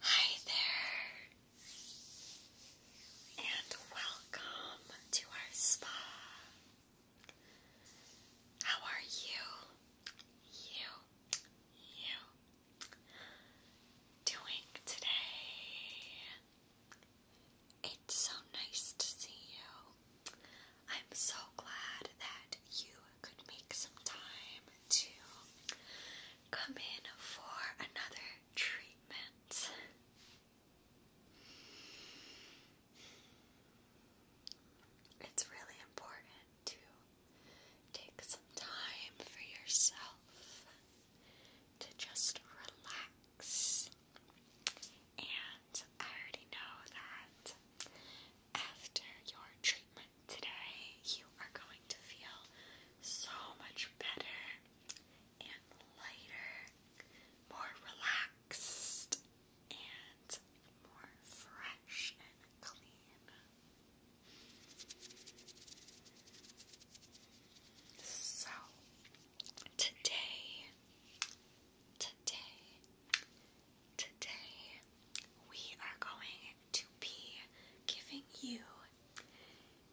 Hi there, and welcome to our spa. How are you? You, you, doing today? It's so nice to see you. I'm so glad that you could make some time to come in for another treatment. It's really important to take some time for yourself to just relax. And I already know that after your treatment today, you are going to feel so much better and lighter, more relaxed, and more fresh and clean. So, today Today, today, we are going to be giving you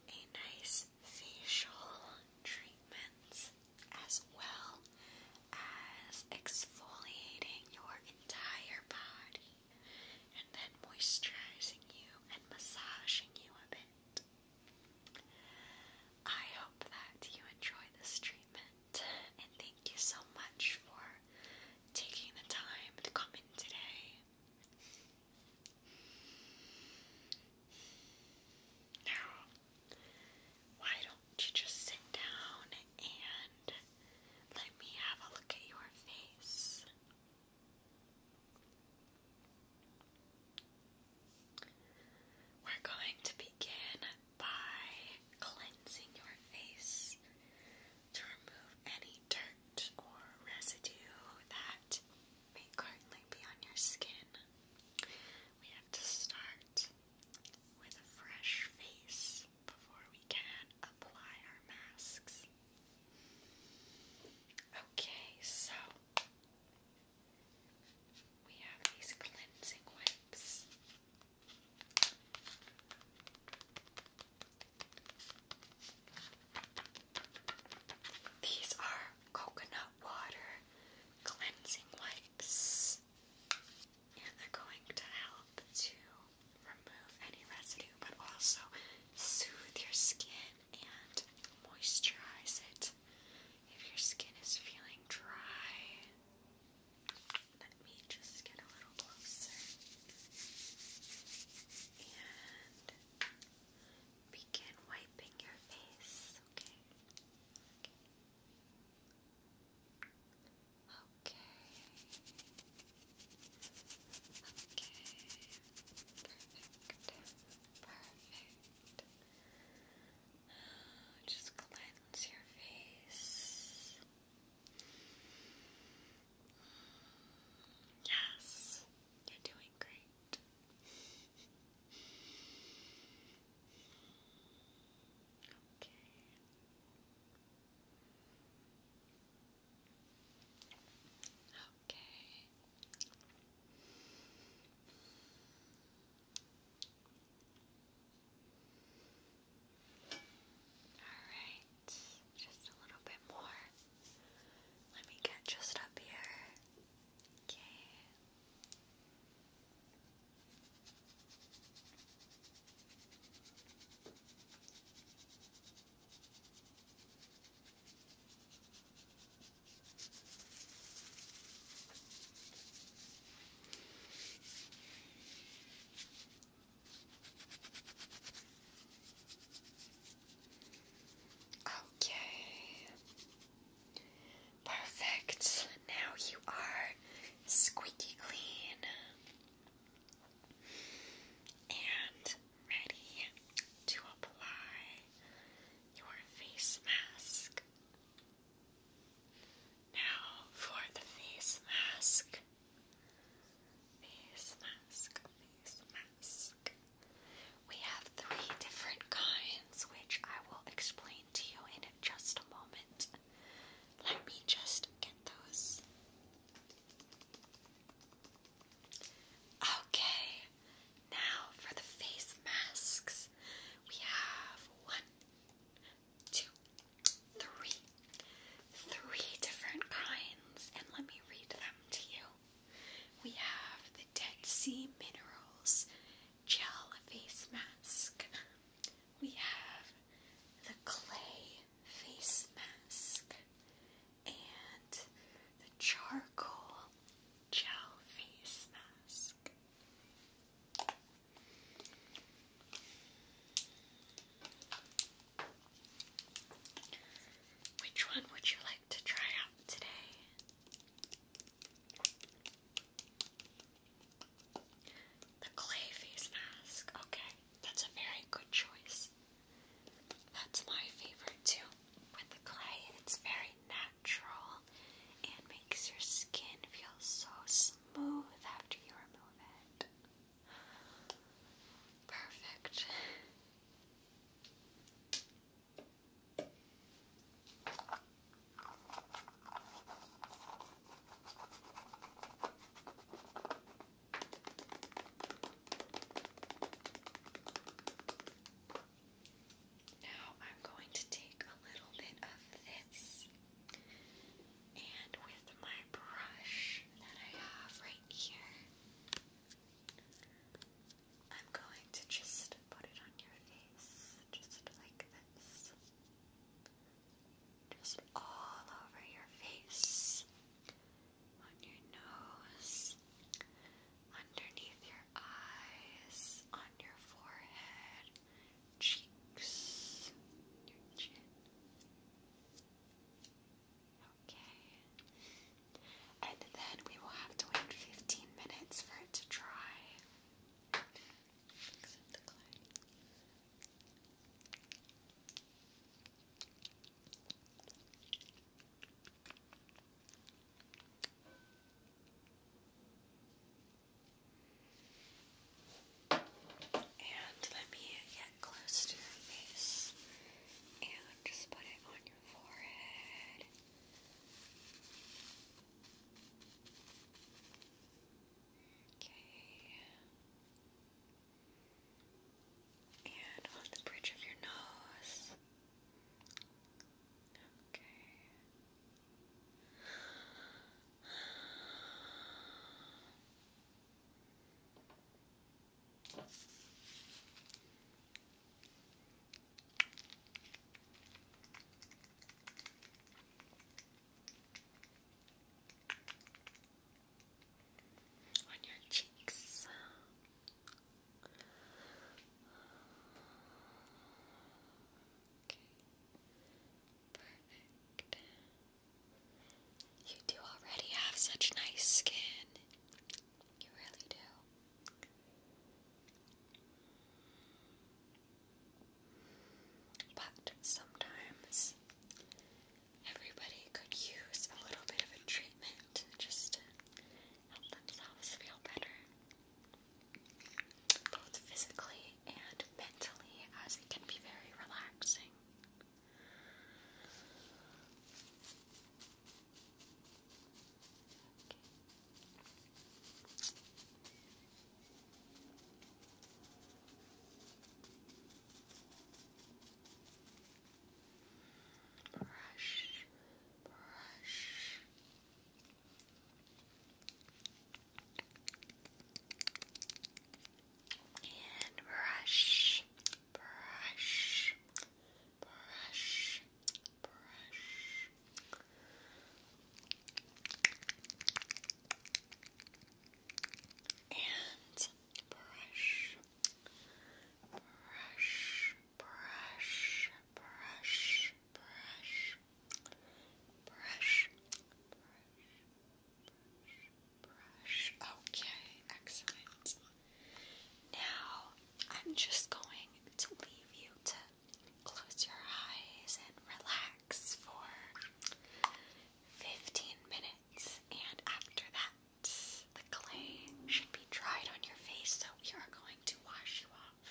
a nice facial treatments, as well as exfoliating your entire body and then moisturizing you and massaging you a bit. I hope that you enjoy this treatment and thank you so much for taking the time to come in today. Now, why don't you just sit down and let me have a look at your face? We're going to begin by cleansing your face to remove any dirt or residue that may currently be on your skin. We have to start with a fresh face before we can apply our masks. Okay, so we have these cleansing wipes. These are coconut water cleansing wipes, and they're going to help to remove any residue but also soothe your skin and moisturize it if your skin is feeling dry. Let me just get a little closer and begin wiping your face, okay? Okay. Perfect. Perfect. Just cleanse your face. Yes, you're doing great. Okay. Okay. Alright, just a little bit more. Let me get just up here. Okay. Okay. Perfect. Now you are squeaky clean and ready to apply your face mask. Now for the face mask. Face mask, face mask. We have three different kinds, which I will explain to you in just a moment. Let me just get those. Okay, now for the face masks. We have one, two, three, three different kinds, and let me read them to you. We have the Dead Sea Minerals Gel Face Mask. We have the Clay Face Mask and the Charcoal Gel Face Mask. Which one would you like to try out today? The clay face mask. Okay, that's a very good choice. That's my favorite too. With the clay, it's very natural natural and makes your skin feel so smooth after you remove it. Perfect. Now I'm going to take a little bit of this and with my brush that I have right here, I'm going to just put it on your face, just like this. Just all over your face, on your nose, underneath your eyes, on your forehead, cheeks, your chin. Okay. And then we will have to wait 15 minutes for it to dry. Except the clay. And let me get close to your face and just put it on your forehead. Okay. And on the bridge of your nose. Okay. On your cheeks, Perfect. You do already have such nice skin. You really do. But sometimes everybody could use a little bit of a treatment just help themselves feel better, both physically and mentally, as it can be very relaxing. Brush brush. And brush, brush, brush, brush. And brush, brush, brush, brush, brush, brush, brush, brush. Okay, excellent. Now I'm just going to leave you to close your eyes and relax for 15 minutes, and after that, the clay should be dried on your face, so we are going to wash you off.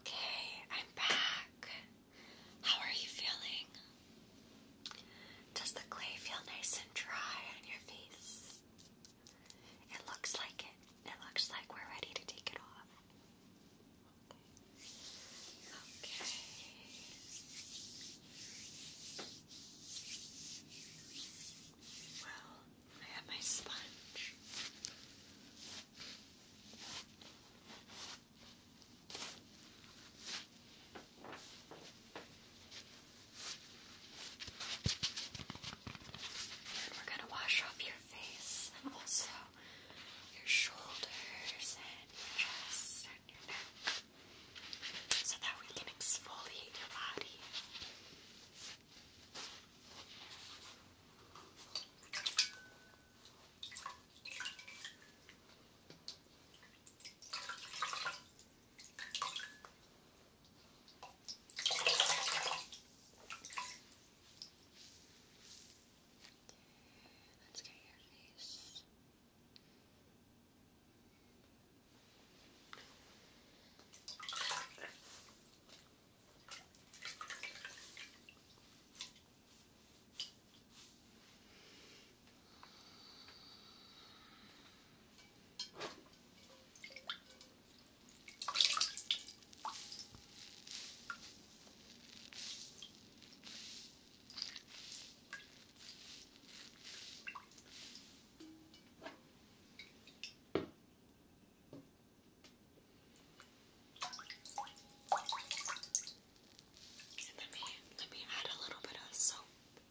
Okay. I'm back. How are you feeling? Does the clay feel nice and dry on your face? It looks like it. It looks like we're ready to take it off. Okay. Well, I have my sponge. And we're going to wash off your face and also your shoulders and your chest and your neck so that we can exfoliate your body. Let's get your face. And let me let me add a little bit of soap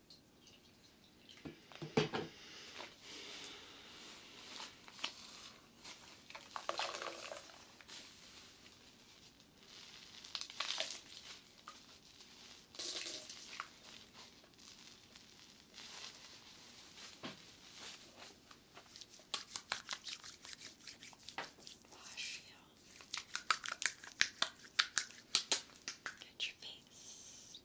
Wash you. Get your face.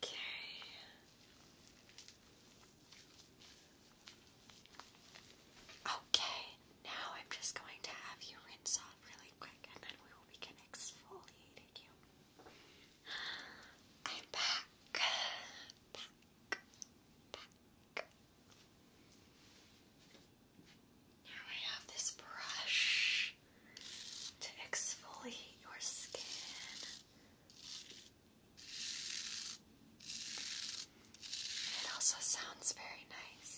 Okay. Okay, now I'm just going to have you rinse off really quick and then we will begin exfoliating you. I'm back. Back. Back. Now I have this brush to exfoliate your skin. It also sounds very nice.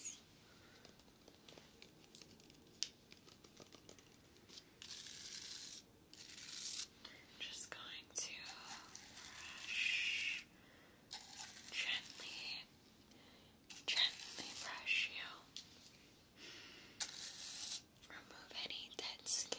Just going to brush gently, gently brush you. Remove any dead skin.